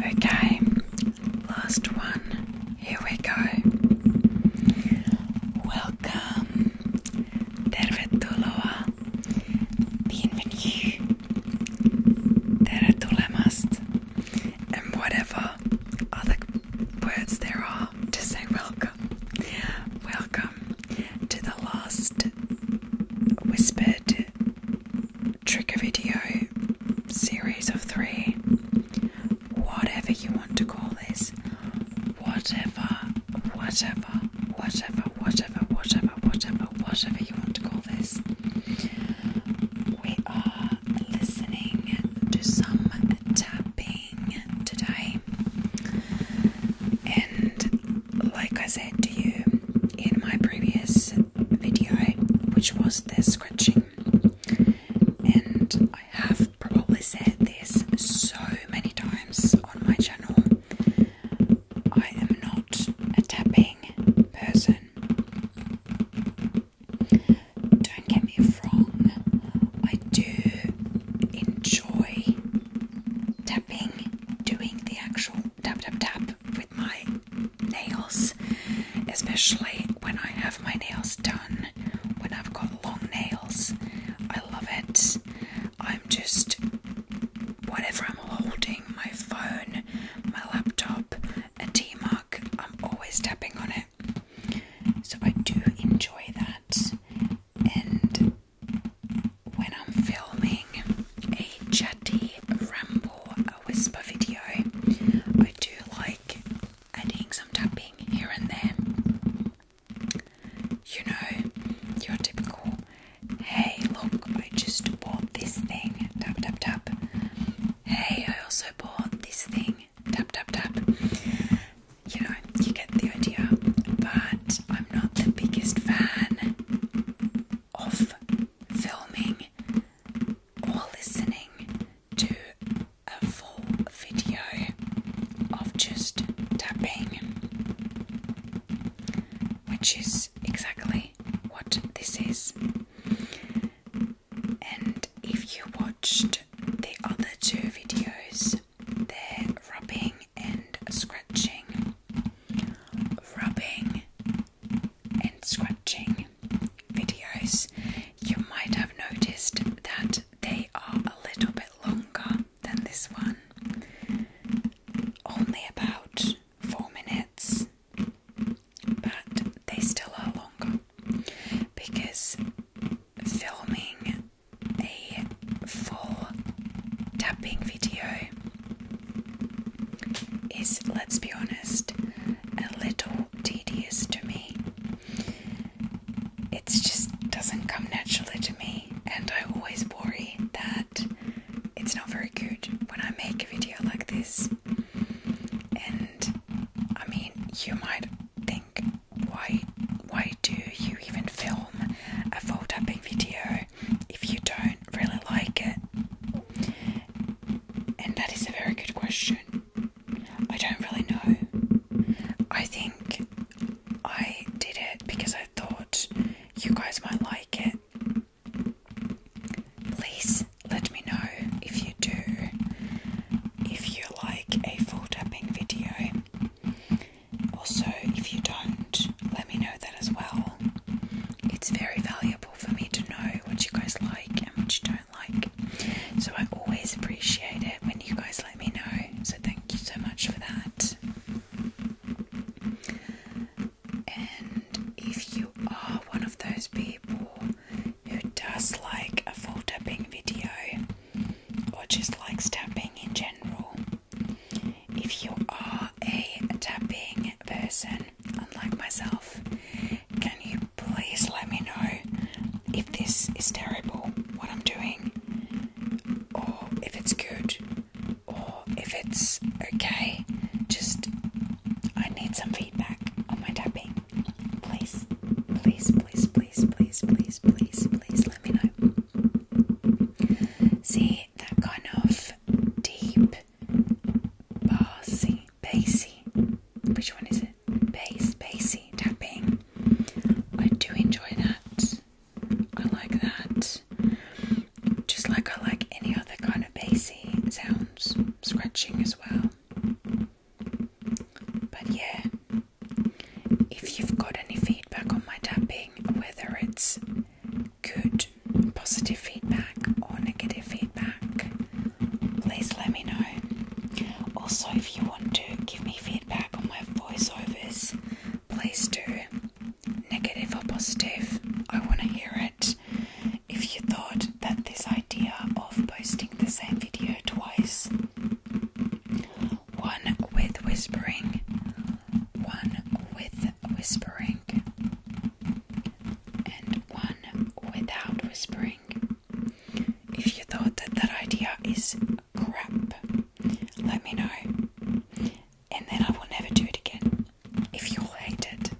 Okay, last one. Here we go. Welcome. Tervetuloa. Bienvenue. Tervetulemast. And whatever other words there are to say welcome. Welcome to the last whispered trigger video series of three, whatever you want to call this, whatever, whatever, whatever, whatever, whatever, whatever, whatever you want to call this. We are listening to some tapping today, and like I said to you in my previous video, which was the scratching, and I have probably said this so many times on my channel. I am not a tapping person. Don't get me wrong, I do enjoy tapping, doing the actual tap, tap, tap with my nails, especially when I have my nails done, when I've got long nails. I love it. I'm just, whatever I'm holding, my phone, my laptop, a T mug, I'm always tapping on it. So I do enjoy that. And when I'm filming a chatty ramble whisper video. I do like adding some tapping here and there. You know, your typical, hey, look, I just bought this thing, tap, tap, tap. Hey, I also bought this thing, tap, tap, tap. You know, you get the idea, but I'm not the biggest fan of filming or listening to a full video of just tapping, which is exactly what this is. And if you watched the other two videos, they're rubbing and scratching, rubbing and scratching videos, you might have noticed that they are a little bit longer than this one, only about four minutes, but they still are longer because filming a full tapping video is, let's be honest, a little tedious to me. It just doesn't come naturally to me, and I always worry that it's not very good when I make a video like this. And I mean, you might think, why, why do you even film a full tapping video if you don't really like it? And that is a very good question. I don't really know. I think I did it because I thought you guys might like it. Please let me know if you do, if you like a full tapping video. Also, if you don't, let me know that as well. It's very valuable for me to know what you guys like and what you don't like. So I always appreciate it when you guys let me know. So thank you so much for that. And if you are one of those people who does like a full tapping video or just likes tapping in general, if you are a tapping person, unlike myself. Can you please let me know if this is terrible, what I'm doing, or if it's good, or if it's okay? Just, I need some feedback on my tapping. Please, please, please, please, please, please, please, please let me know. See, that kind of deep Bassy, bassy. Which one is it? Bass, bassy tapping. I do enjoy that. I like that. Just like I like any other kind of bassy sounds, scratching as well. But yeah, if you've got any feedback on my tapping, whether it's good positive feedback or negative feedback, please let me know. Also, if you want to give me feedback on my voiceovers, please do. Negative or positive, I want to hear it. If you thought that this idea of posting the same video twice, one with whispering, one with whispering and one without whispering. If you thought that that idea is crap, let me know, and then I will never do it again. If you hate it,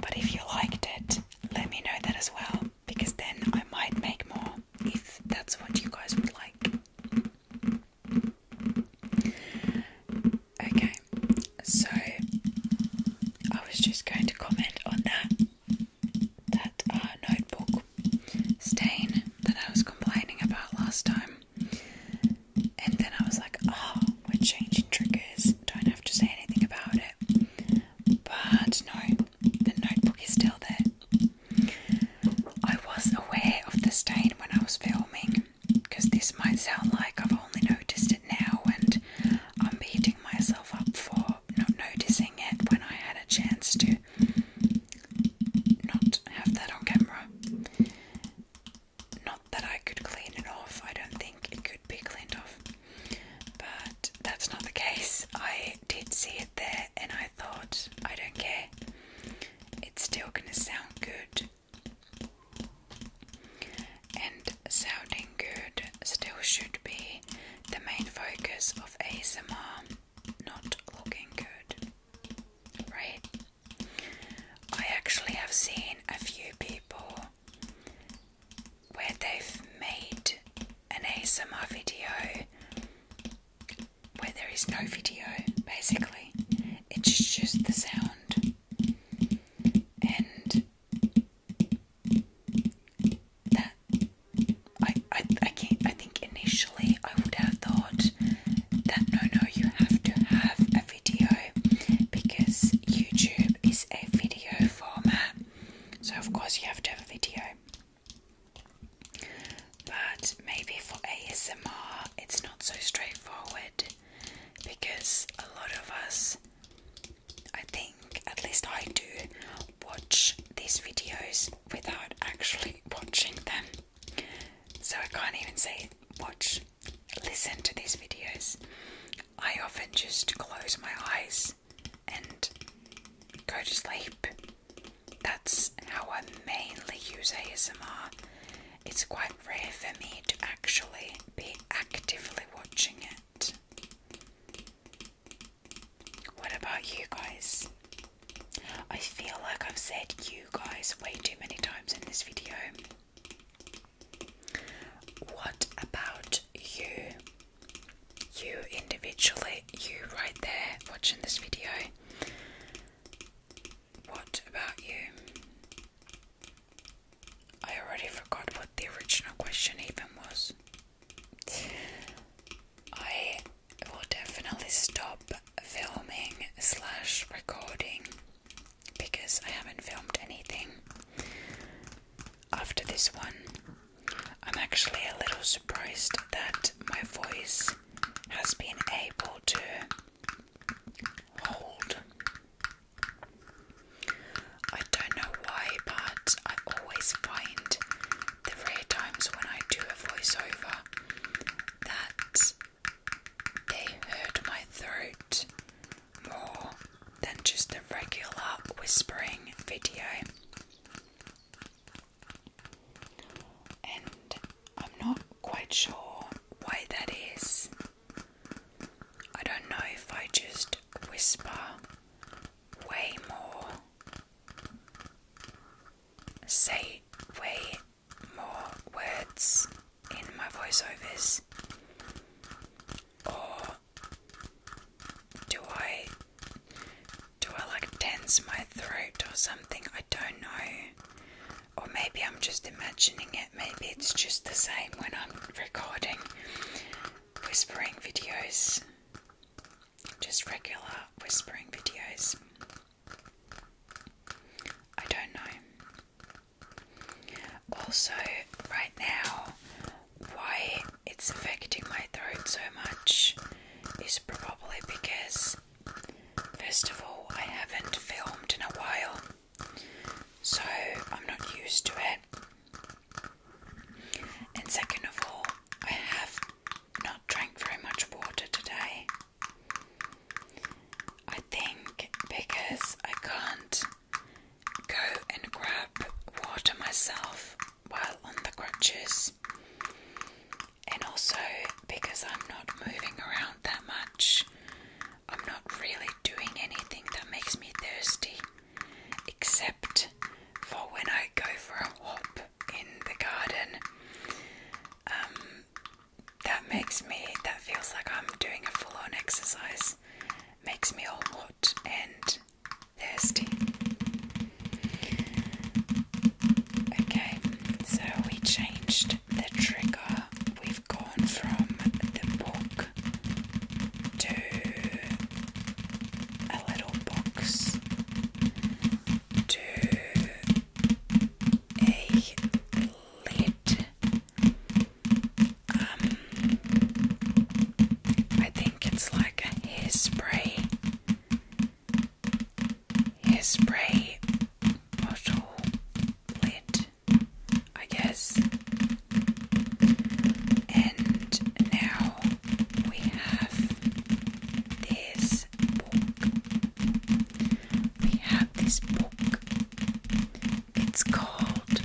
but if you liked it, let me know that as well, because then I might make more if that's what you guys would like. Okay, so I was just going to comment on that that uh, notebook stain that I was complaining about last time, and then I was like, oh, we're changing triggers. Don't have to say anything about it. But no, the notebook is still there. I was aware of the stain when I was filming, because this might sound like I've only noticed it now, and I'm beating myself up for not noticing it when I had a chance to not have that on camera. Not that I could clean it off, I don't think it could be cleaned off, but that's not the case. I did see it there and I thought, I don't care, it's still gonna sound good and sounding good still should be the main focus of ASMR, not looking good. Right? I actually have seen a few people where they've made an ASMR video where there is no video, basically. It's just the sound and that I, I I can't I think initially I would have thought that no no you have to have a video because YouTube is a video format so of course you have to have a video but maybe for ASMR it's not so straightforward because a lot of us, I think, at least I do, watch these videos without actually watching them. So I can't even say watch, listen to these videos. I often just close my eyes and go to sleep. That's how I mainly use ASMR. It's quite rare for me to actually be actively watching it. What about you guys? I feel like I've said you guys way too many times in this video. What about you? You individually, you right there watching this video. What about you? I already forgot what the original question even was. I will definitely stop filming slash recording because I haven't filmed anything after this one. I'm actually a little surprised that my voice has been able to hold. I don't know why, but I always find the rare times when I do a voiceover that they hurt my throat more than just a regular whispering video. And I'm not quite sure why that is. I don't know if I just whisper way more, say way more words in my voiceovers, or do I do I like tense my throat or something? I don't know. Or maybe I'm just imagining it, maybe it's just the same when I'm recording whispering videos, just regular whispering videos. I don't know. Also, right now, why it's affecting my throat so much is probably because First of all, I haven't filmed in a while, so I'm not used to it. And second of all, I have not drank very much water today. I think because I can't go and grab water myself while on the crutches, and also because I'm not moving around that much, I'm not really doing anything that makes me thirsty except for when I go for a hop in the garden. Um, that makes me, that feels like I'm doing a full on exercise, makes me all hot and thirsty. Okay, so we changed the trigger we've gone from the book to a little box to a lid. Um, I think it's like a hairspray. His spray bottle lid, I guess. And now we have this book. We have this book. It's called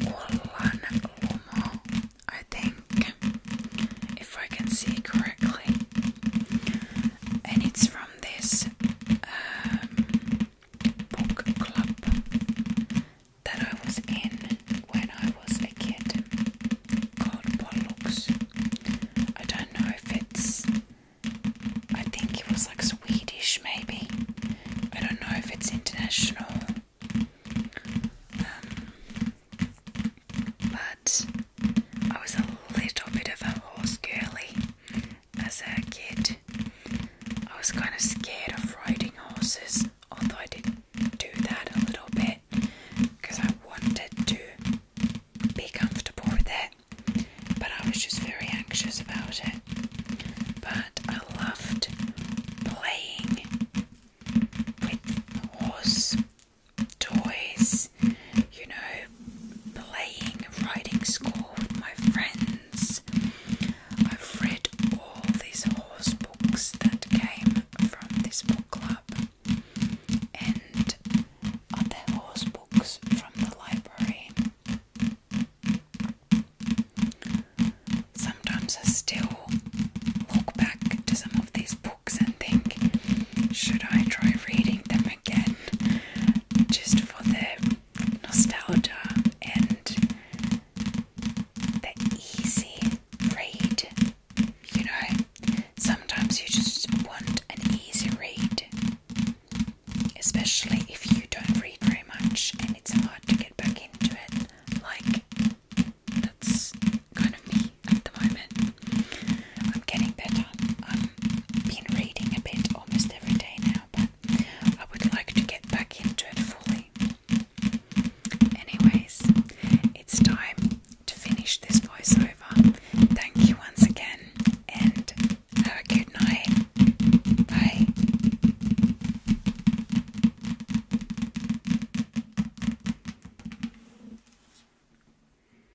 Olan Lomo, I think, if I can see correctly. And it's from this um, book club that I was in when I was a kid called Pollux. I don't know if it's, I think it was like Swedish maybe. I don't know if it's international. Um, but I was a little bit of a horse girly as a kid. I was kind of scared of riding horses, although I did do that a little bit because I wanted to be comfortable with it, but I was just very anxious about it. But I loved playing with horses toys, you know, playing, riding school with my friends. I've read all these horse books that came from this book club and other horse books from the library. Sometimes I still look back to some of these books and think, should I try reading them again just for the nostalgia and the easy read. You know, sometimes you just want an easy read, especially if you don't read very much and it's hard to get back into it. Like, that's kind of me at the moment. I'm getting better been reading a bit almost every day now, I would like to get back into it fully. Anyways, it's time to finish this voiceover. Thank you once again, and have a good night. Bye.